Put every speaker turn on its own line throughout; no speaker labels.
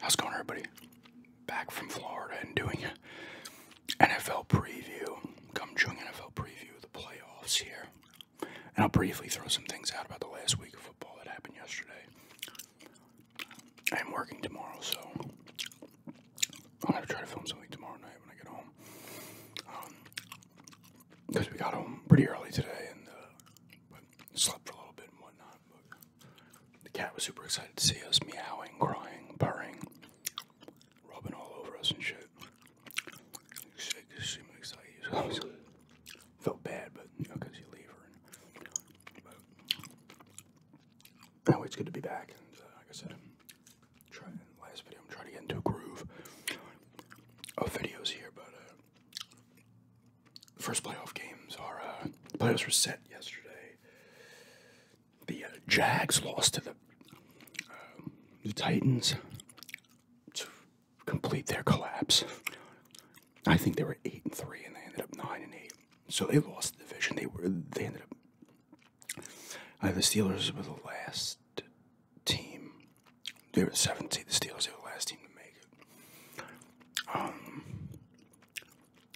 How's it going, everybody? Back from Florida and doing NFL preview. Come join NFL preview of the playoffs here. And I'll briefly throw some things out about the last week of football that happened yesterday. I am working tomorrow, so I'm going to try to film something tomorrow night when I get home. Um, because we got home pretty early today and uh, slept for a little bit and whatnot. the cat was super excited to see us meowing, crying, purring, rubbing all over us and shit. She seemed excited. So I felt bad, but you know, because you leave her. And, but anyway, it's good to be back. And uh, like I said, try, in the last video, I'm trying to get into a groove of videos here, but. Uh, first playoff games are uh, playoffs were set yesterday. The uh, Jags lost to the uh, um, the Titans to complete their collapse. I think they were eight and three, and they ended up nine and eight. So they lost the division. They were they ended up. Uh, the Steelers were the last team they were the The Steelers are the last team to make it. Um,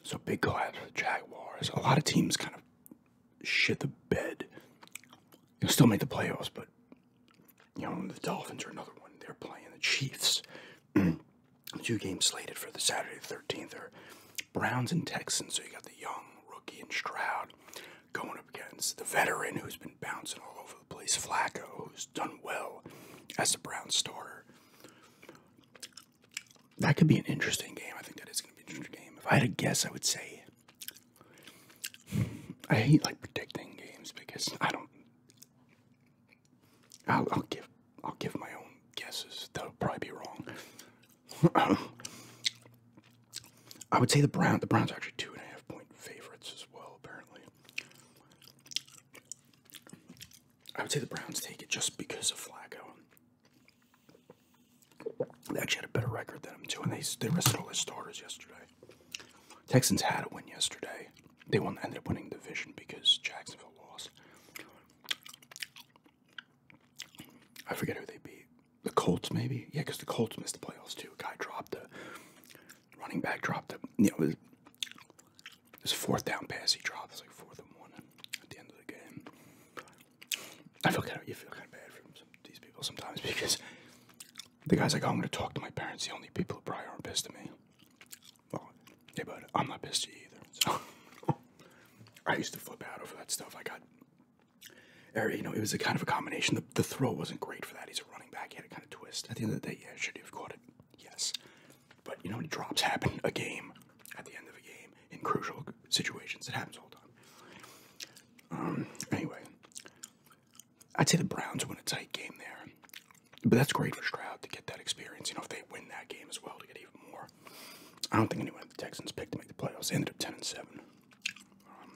so big go out to the Jaguars. A lot of teams kind of shit the bed. They'll still make the playoffs, but you know the Dolphins are another one. They're playing the Chiefs. Two games slated for the Saturday the 13th are Browns and Texans. So you got the young rookie and Stroud going up against the veteran who's been bouncing all over Plays replace Flacco, who's done well as a Brown starter. That could be an interesting game. I think that is going to be an interesting game. If I had to guess, I would say I hate like predicting games because I don't. I'll, give I'll give my own guesses. They'll probably be wrong. I would say the Browns. The Browns are actually two and a half point favorites as well. Apparently, I would say the Browns take it just because of Flacco. They actually had a better record than them too, and they they rested all their starters yesterday. Texans had a win yesterday. They won, ended up winning the division because Jacksonville lost. I forget who they beat. The Colts, maybe? Yeah, because the Colts missed the playoffs too. Guy dropped the running back dropped it. You know, this fourth down pass he drops like fourth and one at the end of the game. I feel kind of you feel kind of bad for these people sometimes because the guy's like, I'm gonna talk to my parents. The only people who probably aren't pissed at me. Well, yeah, but I'm not pissed at you either. I used to flip out over that stuff. I got, or you know, it was a kind of a combination the, throw wasn't great for that. He's a running back. He had a kind of twist. At the end of the day, yeah, should have caught it? Yes. But you know, when drops happen a game, at the end of a game, in crucial situations, it happens all the time. Um, anyway, I'd say the Browns win a tight game there. But that's great for Stroud to get that experience. You know, if they win that game as well, to get even more. I don't think anyone at the Texans picked to make the playoffs. They ended up 10 and 7. Um,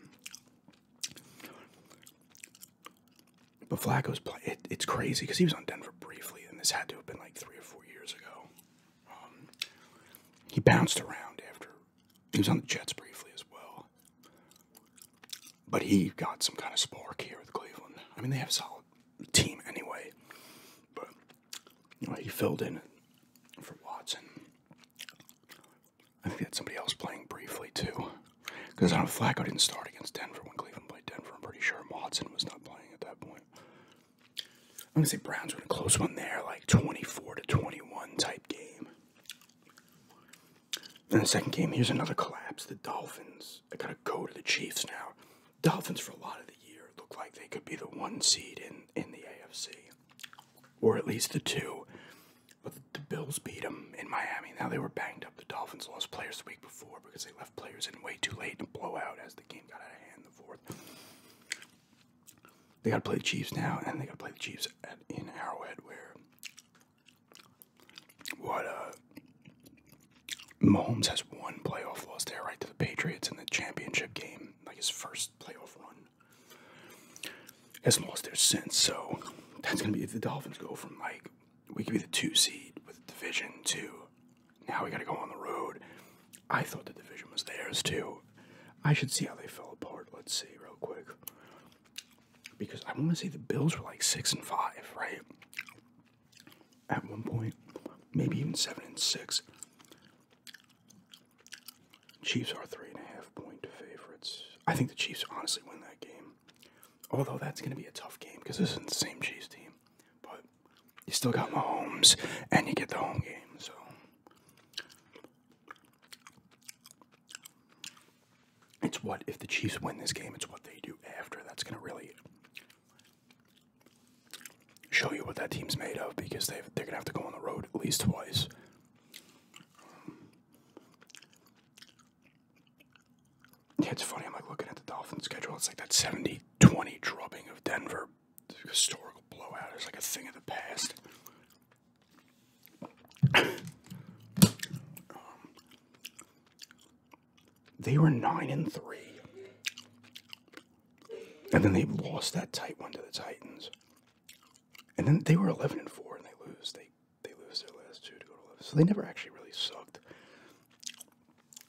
but Flacco's play, it, it's crazy because he was on Denver briefly, and this had to have been like three or four years ago. Um, he bounced around after he was on the Jets briefly as well. But he got some kind of spark here with Cleveland. I mean, they have a solid team anyway. But he filled in for Watson. I think they had somebody else playing briefly too. Because I don't Flacco didn't start against Denver when Cleveland played Denver. I'm pretty sure Madsen was not playing at that point. I'm gonna say Browns were a close one there, like 24 to 21 type game. Then the second game, here's another collapse. The Dolphins. I gotta go to the Chiefs now. Dolphins for a lot of the year look like they could be the one seed in in the AFC, or at least the two. But the, Bills beat them in Miami. Now they were banged up. The Dolphins lost players the week before because they left players in way too late in a blowout as the game got out of hand the fourth. They got to play the Chiefs now, and they got to play the Chiefs at, in Arrowhead, where what uh, Mahomes has one playoff loss there, right to the Patriots in the championship game, like his first playoff run has lost their sense. So that's going to be if the Dolphins go from like we could be the two seed with division two. now we got to go on the road. I thought the division was theirs too. I should see how they fell apart. Let's see real quick because I want to see the Bills were like six and five, right? At one point, maybe even seven and six. Chiefs are three and a half point favorites. I think the Chiefs honestly win that game. Although that's going to be a tough game because this isn't the same Chiefs team. But you still got Mahomes and you get the home game. So it's what, if the Chiefs win this game, it's what they do after. That's going to really show you what that team's made of because they're going to have to go on the road at least twice it's funny. I'm like looking at the Dolphin schedule. It's like that 70 20 drubbing of Denver. Historical blowout It's like a thing of the past. Um, they were 9 and 3. And then they lost that tight one to the Titans. And then they were 11 and 4 and they lose. They they lose their last two to go to 11. So they never actually really sucked.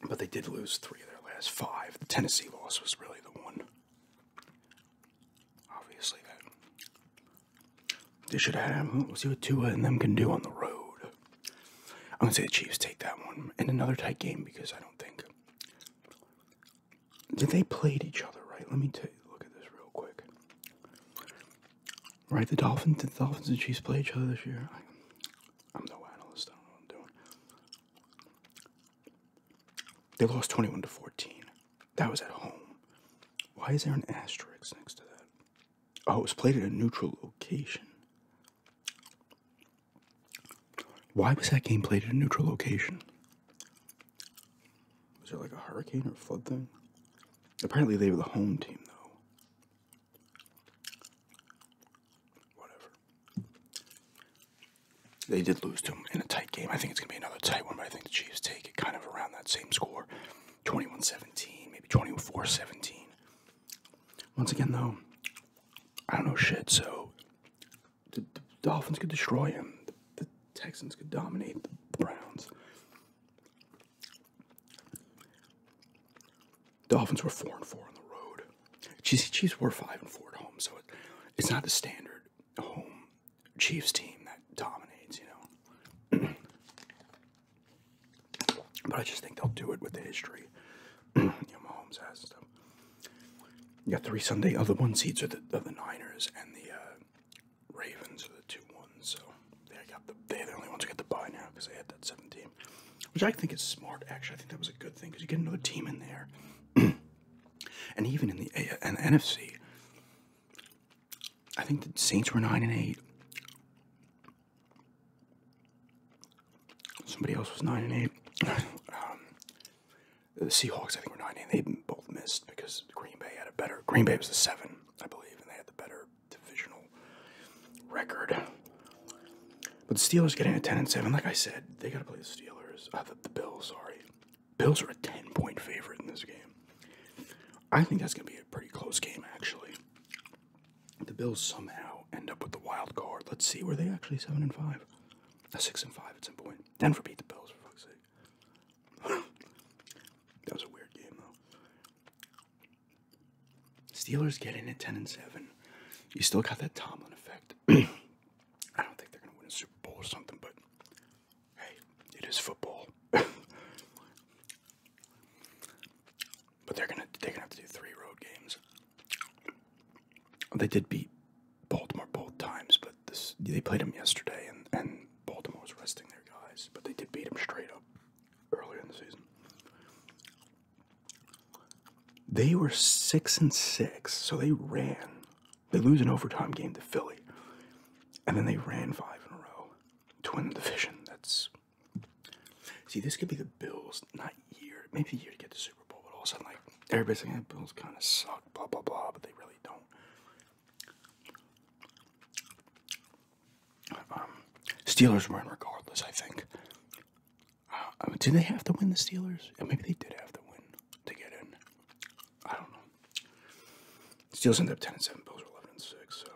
But they did lose three of their last five. The Tennessee loss was really the one. Obviously, that. They should have had him. see what Tua and them can do on the road. I'm going to say the Chiefs take that one in another tight game because I don't think. Did they played each other, right? Let me take a look at this real quick. Right, the Dolphins, the Dolphins and Chiefs play each other this year. I, I'm no analyst. I don't know what I'm doing. They lost 21 to 14. That was at home. Why is there an asterisk next to that? Oh, it was played at a neutral location. Why was that game played at a neutral location? Was it like a hurricane or flood thing? Apparently, they were the home team, though. Whatever. They did lose to them in a tight game. I think it's going to be another tight one, but I think the Chiefs take it kind of around that same score 21 17, maybe 24 17. Once again, though, I don't know shit, so the, Dolphins could destroy him. Texans could dominate the Browns. Dolphins were four and four on the road. Chiefs, Chiefs were five and four at home, so it's not the standard home Chiefs team that dominates, you know. but I just think they'll do it with the history. you know, Mahomes has stuff. You got three Sunday other one seeds are the, the Niners and the uh, Ravens are the two ones, so they got the they're the only ones who get the buy now because they had that 17, which I think is smart. Actually, I think that was a good thing because you get another team in there, and even in the a the NFC, I think the Saints were nine and eight. Somebody else was nine and eight. Um, the Seahawks, I think, were nine and eight both missed because Green Bay had a better. Green Bay was the seven, I believe, and they had the better divisional record. But the Steelers getting a ten and seven. Like I said, they got to play the Steelers. Uh, the, the Bills, sorry. Bills are a ten point favorite in this game. I think that's going to be a pretty close game, actually. The Bills somehow end up with the wild card. Let's see, were they actually seven and five? A uh, six and five at some point. Denver beat the Bills for fuck's sake. that was a weird game though. Steelers get at 10 and 7. You still got that Tomlin effect. I don't think they're gonna win a Super Bowl or something, but hey, it is football. but they're gonna they're gonna have to do three road games. They did beat Baltimore both times, but they played them yesterday, and, and Baltimore was resting their guys, but they did beat them straight up earlier in the season. They were six and six, so they ran. They lose an overtime game to Philly, and then they ran five in a row to win the division. That's see, this could be the Bills, not year, maybe a year to get the Super Bowl, but all of a sudden, like everybody's like, eh, "Bills kind of suck," blah blah blah, but they really don't. Um, Steelers win regardless, I think. Uh, um, do they have to win the Steelers? Yeah, maybe they did have to win to get in. I don't know. Steelers end up ten and seven. Bills are eleven and six. So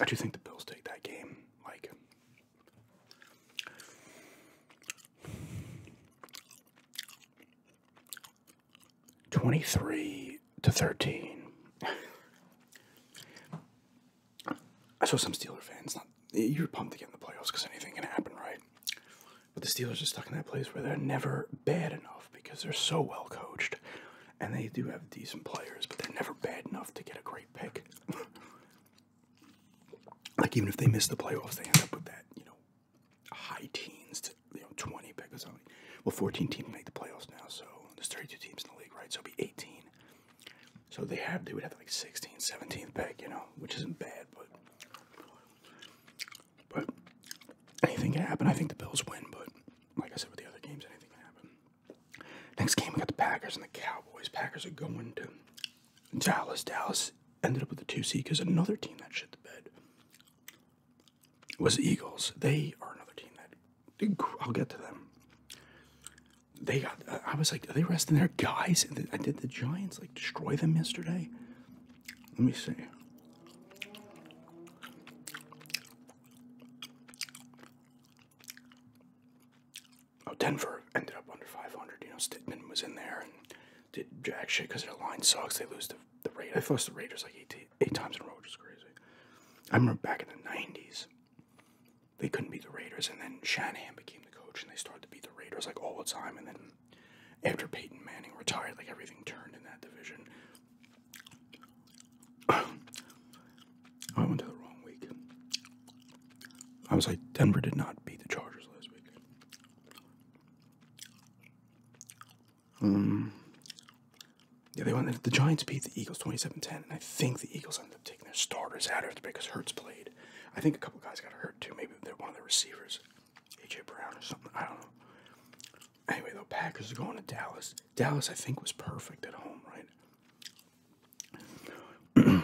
I do think the Bills take that game. Like, 23 to 13. I saw some Steeler fans. you're pumped to get in the playoffs because anything can happen, right? But the Steelers are stuck in that place where they're never bad enough because they're so well coached and they do have decent players, but they're never bad enough to get a great pick. like, even if they miss the playoffs, they end up with that, you know, high teens to 20 pick or something. Well, 14 teams make the playoffs now, so there's 32 teams in the league, right? So it'd be 18. So they have they would have like 16, 17th pick, you know, which isn't bad, but but anything can happen. I think the Bills win, but like I said with the other games, anything can happen. Next game we got the Packers and the Cowboys. Packers are going to Dallas. Dallas ended up with the two seed because another team that shit the bed was Eagles. They are another team that I'll get to them. They got. Uh, I was like, are they resting their guys? I did the Giants like destroy them yesterday? Let me see. Oh, Denver ended up under 500. You know, Stidman was in there, did actually because their line sucks. They lose the the Raiders. They've lost the Raiders like eight eight times in a row, which is crazy. I remember back in the '90s, they couldn't beat the Raiders, and then Shanahan became the coach, and they started to beat the Raiders like all the time. And then after Peyton Manning retired, like everything turned in that division. I went to the wrong week. I was like, Denver did not beat the Chargers last week. Um, yeah, they went. The Giants beat the Eagles 27-10, and I think the Eagles ended up taking their starters out after because Hertz played. I think a couple guys got hurt too. Maybe they're one of the receivers, AJ Brown or something. I don't know. Anyway, though, Packers are going to Dallas. Dallas, I think, was perfect at home, right?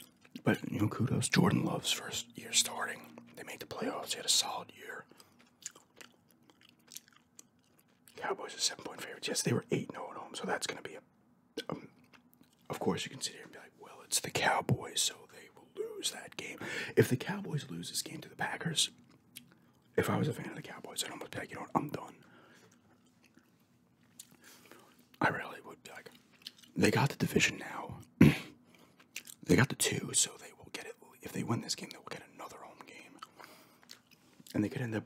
but you know, kudos Jordan Love's first year starting. They made the playoffs. He had a solid year. Cowboys are seven point favorites. Yes, they were 8 0 at home, so that's going to be a. Um, of course, you can sit here and be like, well, it's the Cowboys, so they will lose that game. If the Cowboys lose this game to the Packers, if I was a fan of the Cowboys, I'd almost be like, you know what, I'm done. I really would be like, they got the division now. They got the two, so they will get it. If they win this game, they will get another home game. And they could end up,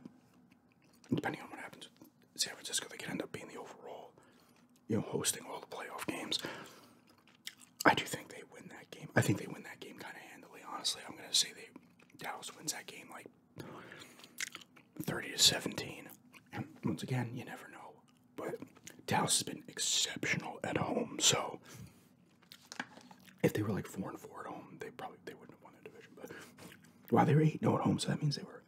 depending on what happens San Francisco, they could end up being the overall, you know, hosting all the playoff games. I do think they win that game. I think they win that game kind of handily, honestly. I'm going to say they Dallas wins that game like 30 to 17. And once again, you never know. But Dallas has been exceptional at home, so if they were like four and four at home, they probably they wouldn't have won the division. But wow, they were eight no oh at home, so that means they were.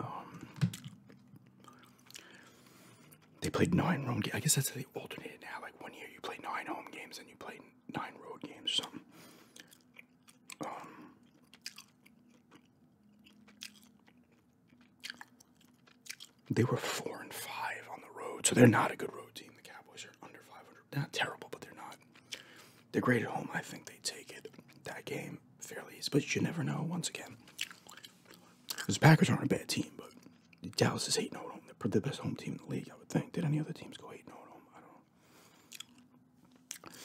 Um, they played nine home games. I guess that's how they alternated now. Like one year you play nine home games and you play nine road games or something. Um, they were four and five on the road, so they're not a good road team. The Cowboys are under 500. Not terrible, but they're not. They're great at home. I think they take it that game fairly easy, but you never know. Once again, the Packers aren't a bad team, but Dallas is 8 0 at home. They're the best home team in the league, I would think. Did any other teams go 8 0 at home? I don't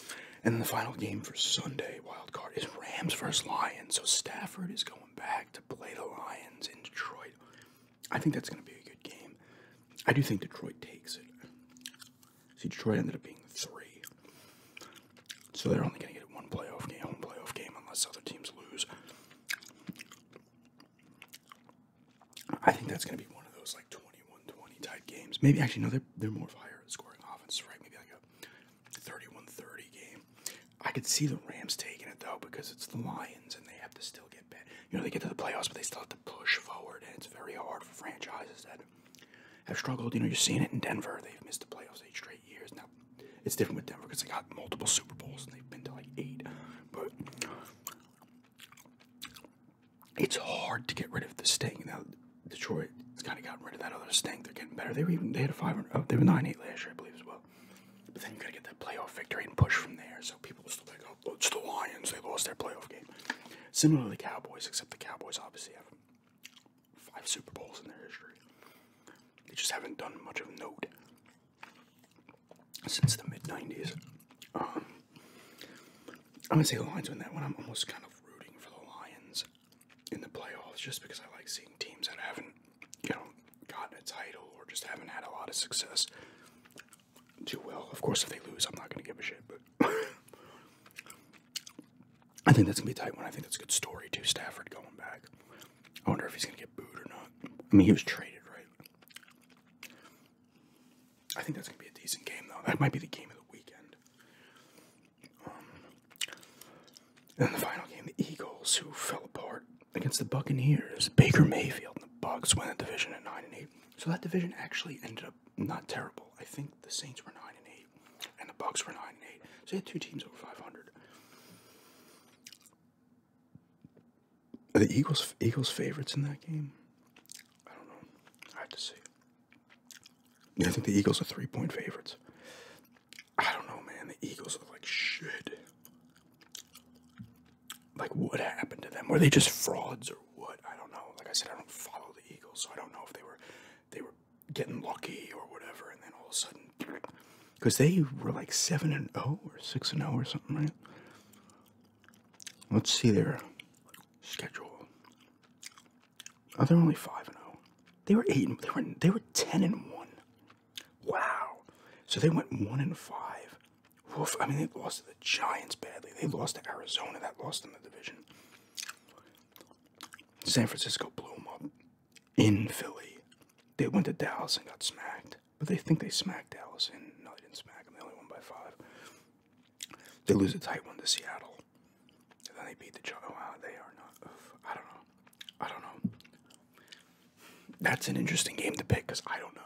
And the final game for Sunday, wild card, is Rams vs Lions. So Stafford is going back to play the Lions in Detroit. I think that's going to be a good game. I do think Detroit takes it. See, Detroit ended up being three. So they're only going to get one playoff game, home playoff game, unless other teams lose. I think that's going to be one of those like 21 20 type games. Maybe, actually, no, they're, they're more of a scoring offense, right? Maybe like 31-30 game. I could see the Rams taking it though because it's the Lions and they have to still get bet. You know they get to the playoffs, but they still have to push forward, and it's very hard for franchises that have struggled. You know you're seeing it in Denver; they've missed the playoffs eight straight years. Now it's different with Denver because they got multiple Super Bowls and they've been to like eight, but it's hard to get rid of the sting. Now Detroit it's kind of gotten rid of that other stink. They're getting better. They were even they had a five. Oh, they were nine eight last year, I believe, as well. But then you gotta get that playoff victory and push from there. So people will still like, oh, it's the Lions. They lost their playoff game. Similar to the Cowboys, except the Cowboys obviously have five Super Bowls in their history. They just haven't done much of note since the mid '90s. Um, I'm gonna say the Lions win that one. I'm almost kind of rooting for the Lions in the playoffs just because I like seeing teams that haven't, you know, gotten a title or just haven't had a lot of success do well. Of course, if they lose, I'm not going to give a shit, but I think that's going to be a tight one. I think that's a good story, too. Stafford going back. I wonder if he's going to get booed or not. I mean, he was traded, right? I think that's going to be a decent game, though. That might be the game of the weekend and the final game, the Eagles, who fell apart against the Buccaneers. Baker Mayfield and the Bucks win the division at nine and eight. So that division actually ended up not terrible. I think the Saints were nine and eight, and the Bucks were nine and eight. So they had two teams over five hundred. Are the Eagles Eagles favorites in that game? I don't know. I have to see. I think the Eagles are three point favorites. I don't know, man. The Eagles look like shit. Like, what happened to them? Were they just frauds or what? I don't know. Like I said, I don't follow the Eagles, so I don't know if they were they were getting lucky or whatever, and then all of a sudden, because they were like seven and zero oh or six and zero oh or something, right? Let's see their schedule. Oh, they're only five and zero. Oh. They were eight. And, they were they were ten and one. Wow. So they went one and five. Woof. I mean, they lost to the Giants badly. They lost to Arizona. That lost in the division. San Francisco blew them up in Philly. They went to Dallas and got smacked. But they think they smacked Dallas, and no, they didn't smack them. They only won by five. They lose a tight one to Seattle then they beat the Chargers. Wow, they are not. I don't know. I don't know. That's an interesting game to pick because I don't know.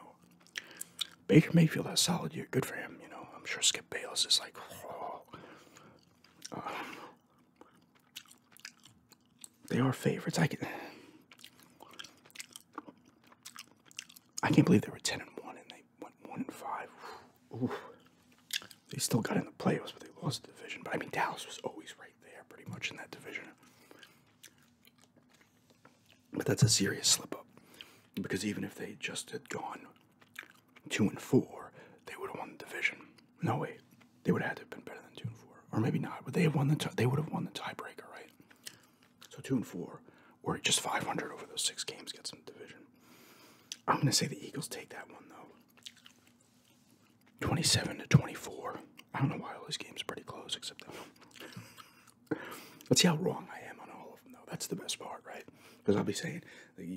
Baker Mayfield has solid year. Good for him. You know, I'm sure Skip Bales is like. Oh. they are favorites. I can. I can't believe they were ten and one and they went one and five. They still got in the playoffs, but they lost the division. But I mean, Dallas was always right there, pretty much in that division. But that's a serious slip up, because even if they just had gone two and four, they would have won the division. No way, they would have had to have been better than two and four, or maybe not. But they have won the they would have won the tiebreaker, right? So two and four, or just five hundred over those six games gets them division. I'm gonna say the Eagles take that one though. 27 to 24. I don't know why all these games are pretty close except that one. Let's see how wrong I am on all of them, though. That's the best part, right? Because I'll be saying,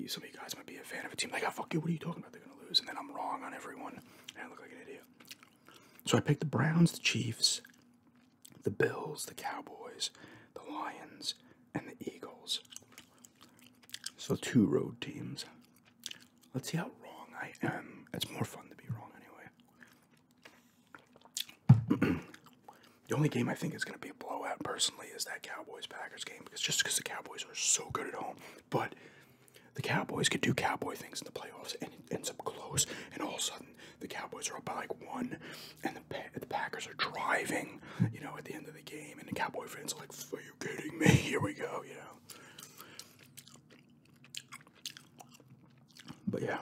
some of you guys might be a fan of a team. Like, oh, fuck you, what are you talking about? They're going to lose. And then I'm wrong on everyone. And I look like an idiot. So I picked the Browns, the Chiefs, the Bills, the Cowboys, the Lions, and the Eagles. So two road teams. Let's see how wrong I am. It's more fun to be wrong anyway. the only game I think is going to be a blowout personally is that Cowboys Packers game because just because the Cowboys are so good at home, but the Cowboys could do Cowboy things in the playoffs and it ends up close, and all of a sudden the Cowboys are up by like one, and the, the Packers are driving, you know, at the end of the game, and the Cowboy fans are like, "Are you kidding me? Here we go," you know. But yeah,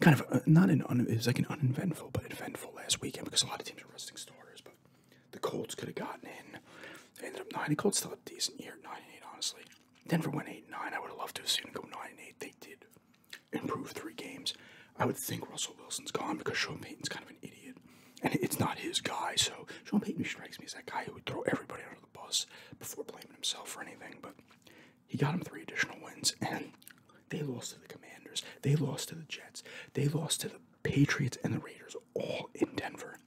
kind of uh, not an un it was like an uneventful, but eventful last weekend because a lot of teams are resting starters. But the Colts could have gotten in. They ended up nine. The Colts still a decent year, nine eight, honestly. Denver went eight nine. I would have loved to have seen them go nine eight. They did improve three games. I would think Russell Wilson's gone because Sean Payton's kind of an idiot and it's not his guy. So Sean Payton strikes me as that guy who would throw everybody under the bus before blaming himself for anything. But he got him three additional wins, and they lost to the Commanders, they lost to the Jets, they lost to the Patriots and the Raiders, all in Denver.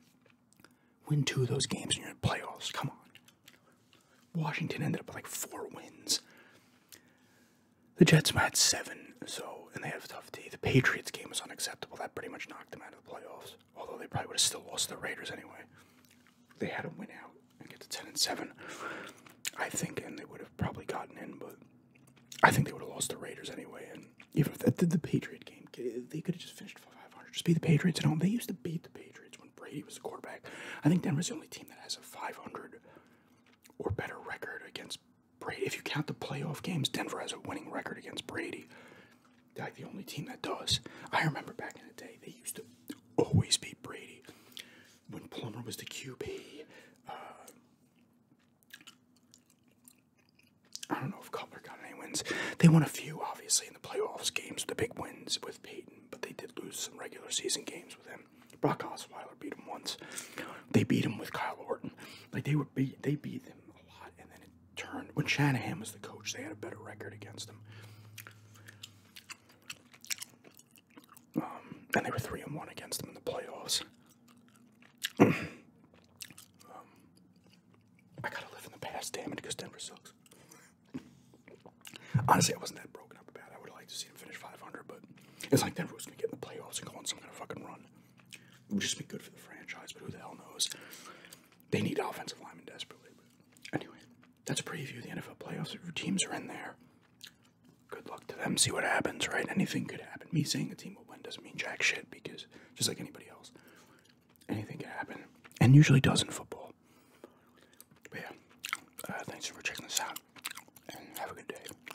Win two of those games in you playoffs. Come on. Washington ended up with like four wins. The Jets were at seven, so and they have a tough day. The Patriots game was unacceptable. That pretty much knocked them out of the playoffs. Although they probably would have still lost the Raiders anyway. They had to win out and get to ten and seven. I think, and they would have probably gotten in, but I think they would have lost the Raiders anyway. And if that the Patriot game, they could have just finished five hundred. Just beat the Patriots at home. They used to beat the Patriots when Brady was the quarterback. I think Denver's the only team that has a five hundred or better record against Brady, if you count the playoff games, Denver has a winning record against Brady. like the only team that does. I remember back in the day, they used to always beat Brady. When Plummer was the QB, uh, I don't know if Cutler got any wins. They won a few, obviously, in the playoffs games, the big wins with Peyton, but they did lose some regular season games with him. Brock Osweiler beat him once. They beat him with Kyle Orton like they were beat they beat them a lot, and then it turned when Shanahan was the coach. They had a better record against them, um, and they were three and one against them in the playoffs. Um, I gotta live in the past, damn it, because Denver sucks. Honestly, I wasn't that broken up about it. I would have liked to see them finish 500, but it's like Denver was gonna get in the playoffs and go on some kind of fucking run. It would just be good for the franchise, but who the hell knows? They need offensive linemen desperately. But anyway, that's a preview of the NFL playoffs. If your teams are in there, good luck to them. See what happens, right? Anything could happen. Me saying a team will win doesn't mean jack shit because just like anybody else, anything can happen, and usually does in football. But yeah, uh, thanks for checking this out, and have a good day.